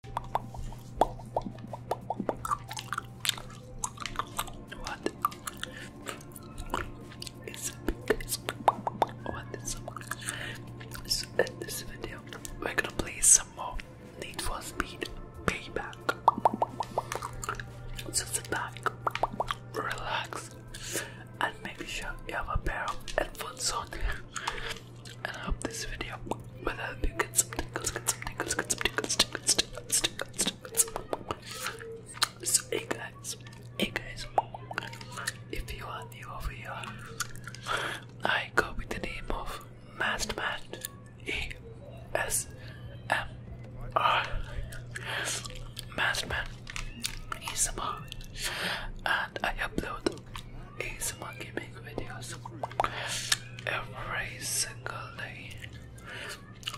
What is up guys? in this video we're gonna play some more Need for Speed Payback. sit back, relax, and make sure you have a pair of headphones on and I hope this video will help you get some tingles, get some tingles, get some tingles, tingles, tingles, tingles, tingles. So, hey guys, hey guys, if you are new over here, I go with the name of Masterman E S M R. Masterman is and I upload ASMR gaming videos every single day.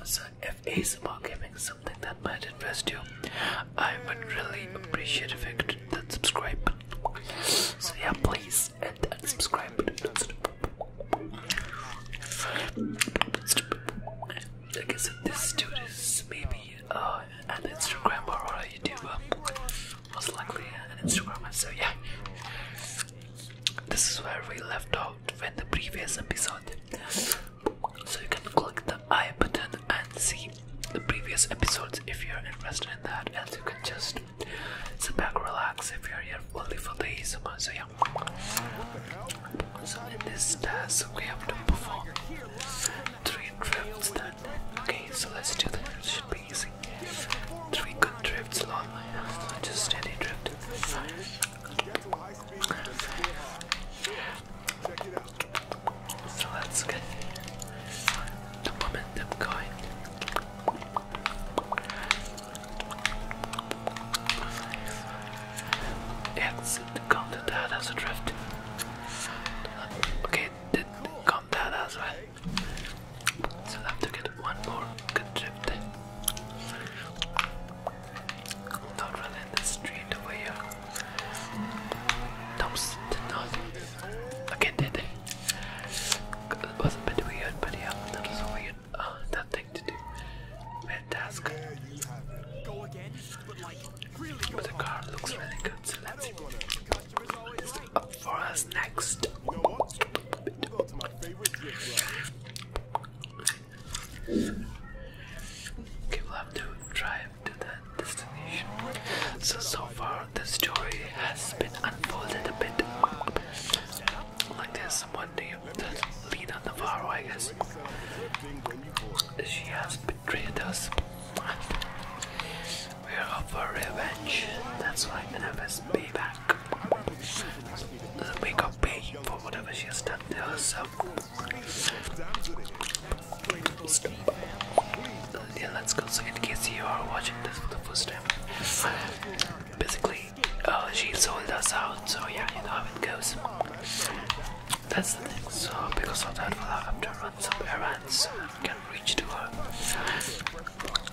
So, if ASMR gaming is something that might interest you, I would really appreciate if you could hit that subscribe button. So, yeah, please hit that subscribe button. I said, this dude is maybe uh, an Instagrammer or a YouTuber most likely an Instagrammer. So yeah, this is where we left out in the previous episode. So you can click the I button and see the previous episodes if you're interested in that. And you can just sit back, relax if you're here only for the ASMR. So yeah. So in this task we have to perform three trips then. Okay, so let's do this easy. Three good drifts, lol. Just steady drift. So let's get the momentum going. Yes, count that as a drift. Okay, did count that as well. So I have to get one more good drift. Not really in the street over here. Dumps did not. Again, did It was a bit weird, but yeah, that was a weird uh, that thing to do. Weird task. But the car looks really good, so let's up for us next. Okay, we'll have to drive to that destination. So, so far, the story has been unfolded a bit like there's someone who's been on the Navarro, I guess. She has betrayed us. We're up for revenge. That's why right, and have us back make her pay for whatever she has done herself. let's go. So, in case you are watching this for the first time, basically, uh, she sold us out. So, yeah, you know how it goes. That's the thing. So, because of that, we'll have to run some errands. So we can reach to her.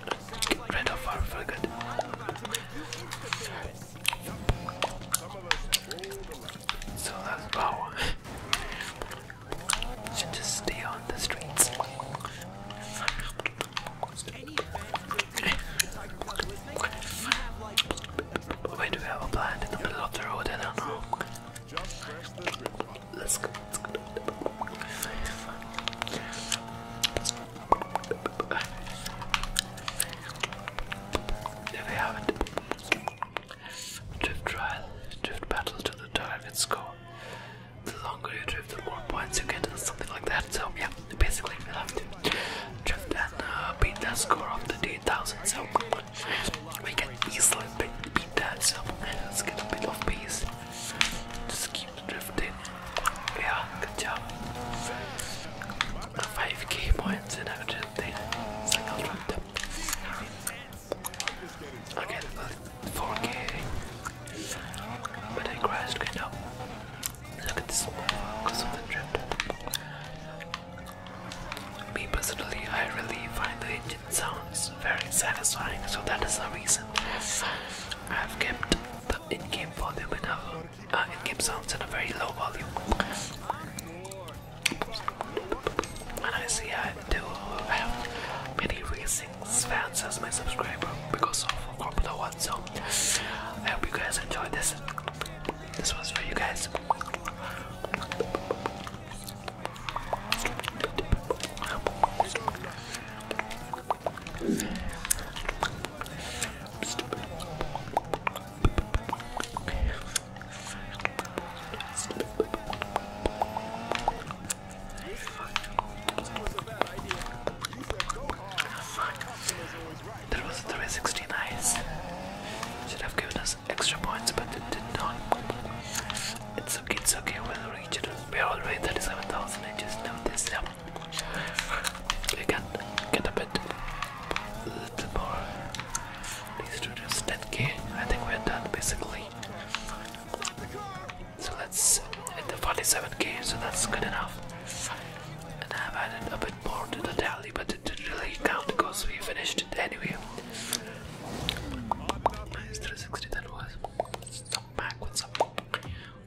Let's get rid of her for good. So that's wow. Should just stay on the streets. Why do we have a plant in the middle of the road? I don't know. Let's go. There we have it. Drift trial. Drift battle to the target score. The longer you drift, the more points you get, or something like that. So, yeah, basically, we have to drift and uh, beat that score of the 10,000. So, we can easily beat that. So, let's get a bit of peace drifting. Yeah, good job. Five key points in everything. Second round. I get about 4k. But I crashed kind of. Look at this because of the drift. Me personally, I really find the engine sounds very satisfying, so that is the reason I have kept the in-game volume in a, uh, in-game sounds in a very low volume. And I see I do have many racing fans as my subscriber because of Formula One. So I hope you guys enjoyed this. This was for you guys. That was 360 nice. Should have given us extra points, but it did not. It's okay, it's okay, we'll reach it. We're already 37,000, I just know this now. You can get a bit, a little more. These two just 10k. I think we're done basically. So let's hit the 47k, so that's good enough. And I've added a bit more to the tally, but it didn't really count because we finished it anyway. Nice 360 that was. Some back with some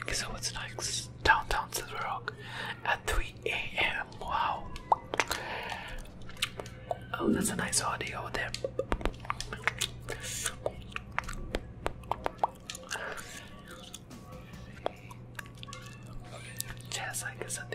Okay, so what's next? Downtown Silver Rock at 3 a.m. Wow. Oh, that's a nice audio there. Okay, yes, I guess I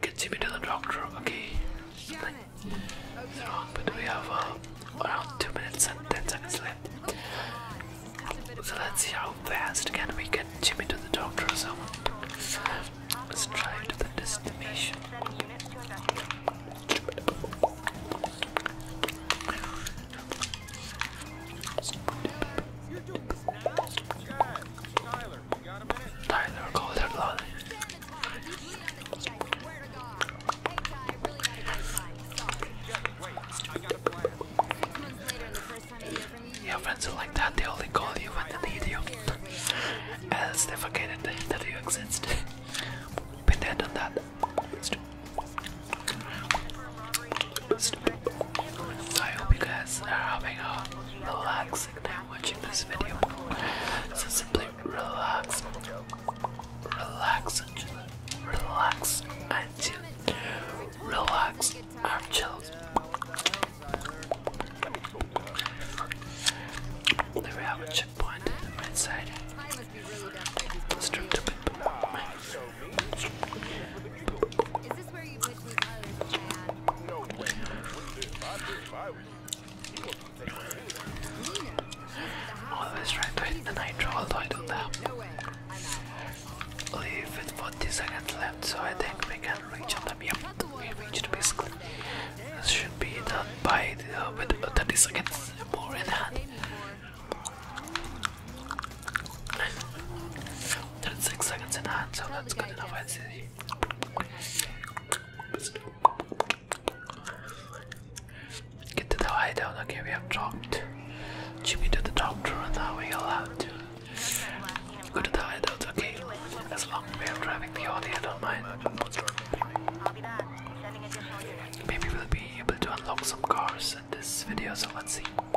Get me to the doctor, okay. It's oh, wrong, but we have uh, around 2 minutes and 10 seconds left. So let's see how fast can we get Jimmy to the doctor. So let's drive to the destination. Tyler, you got a minute? Your friends are like that, they only call you when they need you. As they forget that you exist. Been there, done that. I hope you guys are having a relaxing time watching this video. So simply relax, relax and chill, relax and chill, relax and chill. There we have a checkpoint on the Let's drop the bit. Always try to hit the nitro, although I don't have leave with 40 seconds left, so I think we can reach the them. we reached basically. This should be done by uh, with 30 seconds more in hand. That's six seconds in hand, so that's good enough, I'd say. Get to the hideout, okay, we have dropped Jimmy to the doctor and now we allowed to go to the hideout, okay? As long as we are driving the audio, I don't mind. Maybe we'll be able to unlock some cars in this video, so let's see.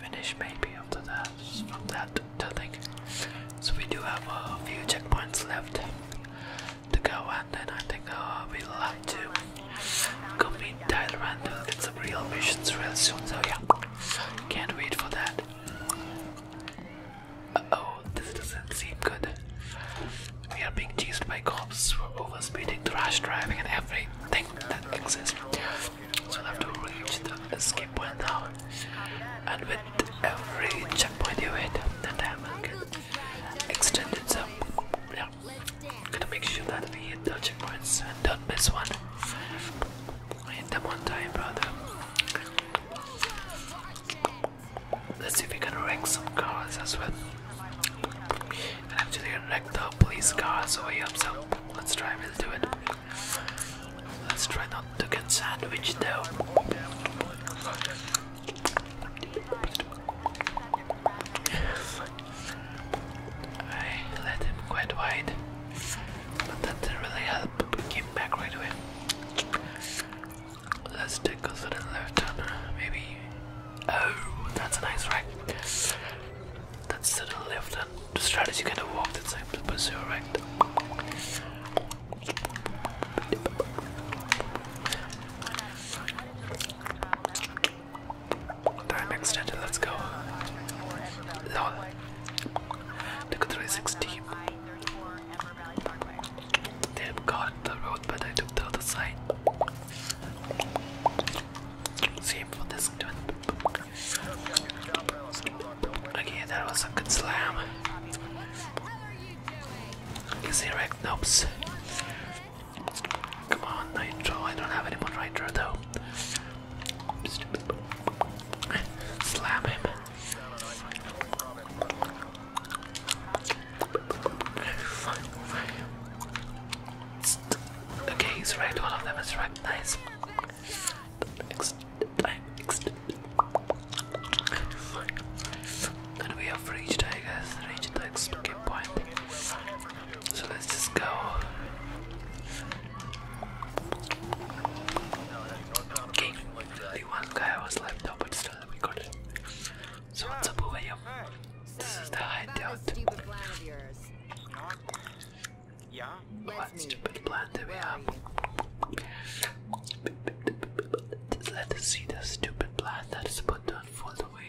finish maybe after that from that thing. So we do have a few checkpoints left to go and then I think uh, we'll have to go meet Tyler and we get some real missions real soon. So yeah, can't wait for that. oh, this doesn't seem good. We are being chased by cops for over speeding, trash driving, and everything that exists so we'll have to reach the escape point And with every checkpoint you hit, the time will get extended. So, yeah, gonna make sure that we hit the checkpoints and don't miss one. hit them on time, brother. Let's see if we can wreck some cars as well. And actually, wreck the police cars over here. So, let's try, we do it. Let's try not to get sandwiched though. I let him quite wide, but that didn't really help. came back right away. Let's take a little left turn, maybe. Oh, that's a nice rack. That's to the left and the strategy kind of walk that's like to pursue right. Time extended, let's go. Lol. Took 360. They got the road, but I took the other side. Same for this one. Okay, that was a good slam. Is he Nope. Come on, Nitro. I don't have any more Nitro though. Slam him. Okay, he's right. One of them is right. Nice. Next i we have reached, I guess, reached the escape point. So let's just go. Okay, the one guy was left out, but still we got it. So what's up over here? This is the hideout. Yeah. What stupid plan do we have? Let's see the stupid plan that is put on for the way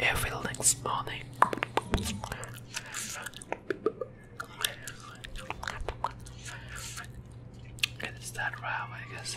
Every next morning. it's that round, I guess.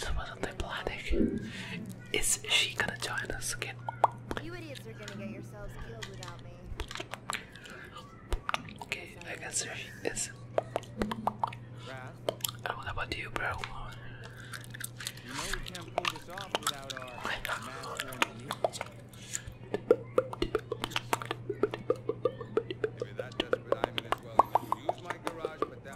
That wasn't planning. Is she gonna join us again? You idiots are gonna get yourselves killed without me. Okay, I guess there she is. And oh, what about know we you're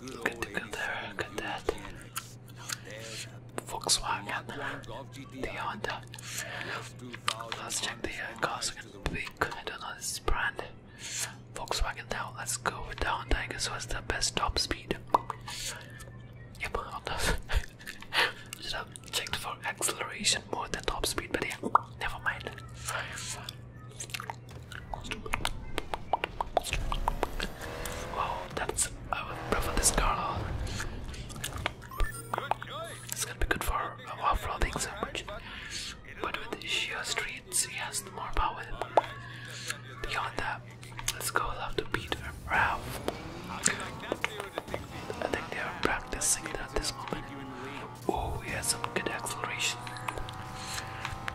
Good to get there, good that. Volkswagen, Honda. Let's check the uh, cars we I don't know this brand. Volkswagen now. let's go with the Honda. I guess what's the best top speed? Yep, Honda. Should uh, have checked for acceleration more than top speed, but yeah, never mind. Oh, that's I would prefer this car. It's gonna be good for uh, off-roading so much. But with the sheer he has more power. Beyond that, let's go have to beat a Rav. I think they are practicing at this moment. Oh, he has some good acceleration.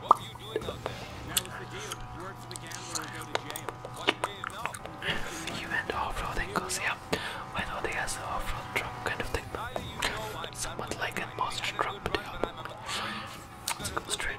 What were you doing out there? That was the deal. Word for the gambler go to jail. What do you know? You went off-roading because, yeah, when Odi has an off-road truck kind of thing. Somewhat like a monster truck, but yeah. Straight.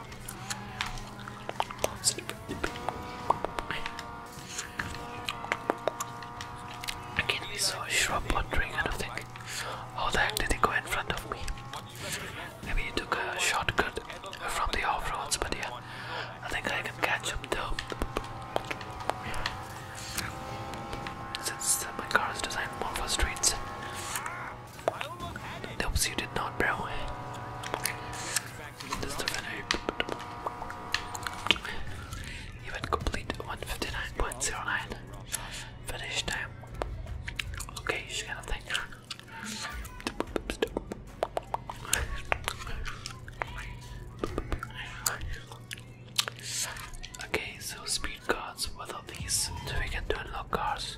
I Again, we saw a shrub wandering kind of think. How oh, the heck did they go in front of me? Maybe he took a shortcut from the off roads, but yeah, I think I can catch him though. Since my car is designed more for streets, Helps you did not, bro. This defender. Even complete 159.09. Finish time. Okay, she's Okay, so speed cars. What are these? So we can do unlock cars.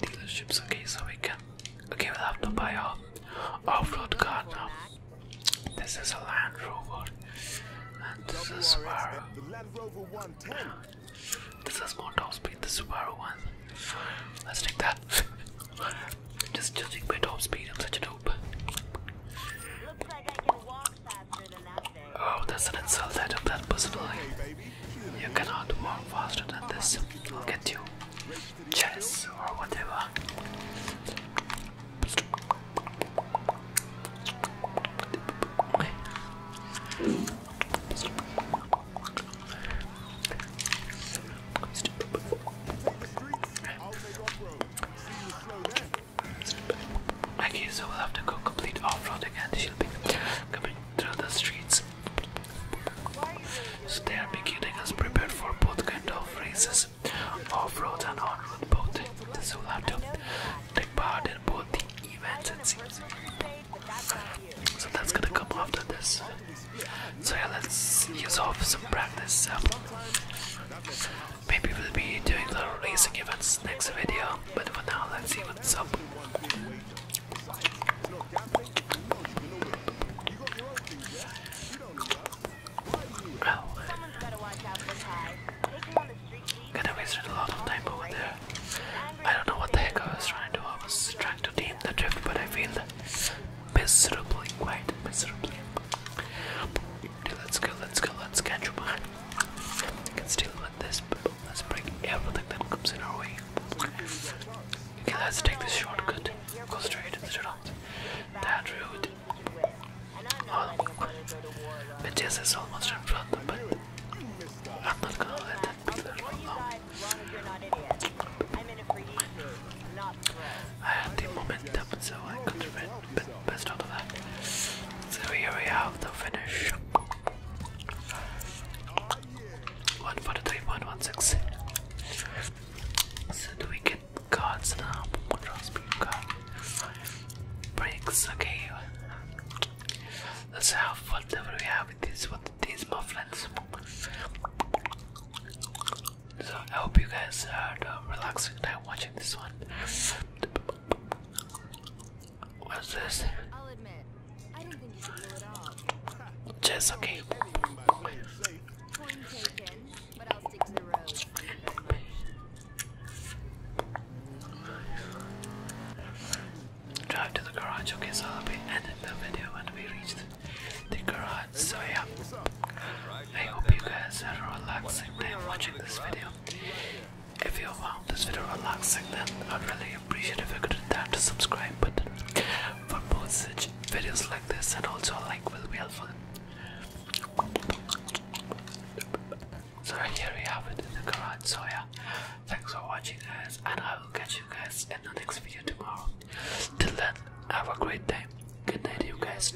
Dealerships, okay, so we can. Okay, we have to buy a off road car now. This is a Land Rover, and this is Subaru. This is more top speed, the Subaru one. Let's take that. just, just take top speed, I'm such a dope. Oh, that's an insult. I took that personally. You cannot walk faster than this. I'll get you. Chess or whatever. Okay, so we'll have to go complete off-roading and she'll be coming through the streets. So they are getting us prepared for both kind of races, off-road and on-road both. So we'll have to take part in both the events and scenes. So that's gonna come after this. So yeah, let's use off some practice. Um, maybe we'll be doing the racing events next video, but for now, let's see What's up? Well, gonna waste a lot of time over there. I don't know what the heck I was trying to do. I was trying to deem the drift, but I failed miserably, quite miserably. let's go, let's go, let's catch up. I can still this. But Let's break everything that comes in our way. Okay, let's take this shortcut. Go straight, to the out. That route. Oh, Matthias is almost in front, of but I'm not gonna let that be there for long. I had the momentum, so I could run best out of that. So here we have the finish. One, four, three, one, one, six. So do we get cards now? Draw speed card. Breaks. Okay. Let's have whatever we have with this. With these mufflins. So I hope you guys had uh, a relaxing time watching this one. What's this? I'll admit, I didn't think you could do it all. Just okay. i Drive to the garage. Okay, so I'll the video when we reach the, garage. So yeah, I hope you guys are a relaxing time watching this video. If you found this video relaxing, then I'd really appreciate if you could hit that subscribe button for more such videos like this, and also a like will be helpful. So here we have it in the garage. So yeah, thanks for watching, guys, and I will catch you guys in the next video tomorrow. Till then, have a great day. Good night, you guys.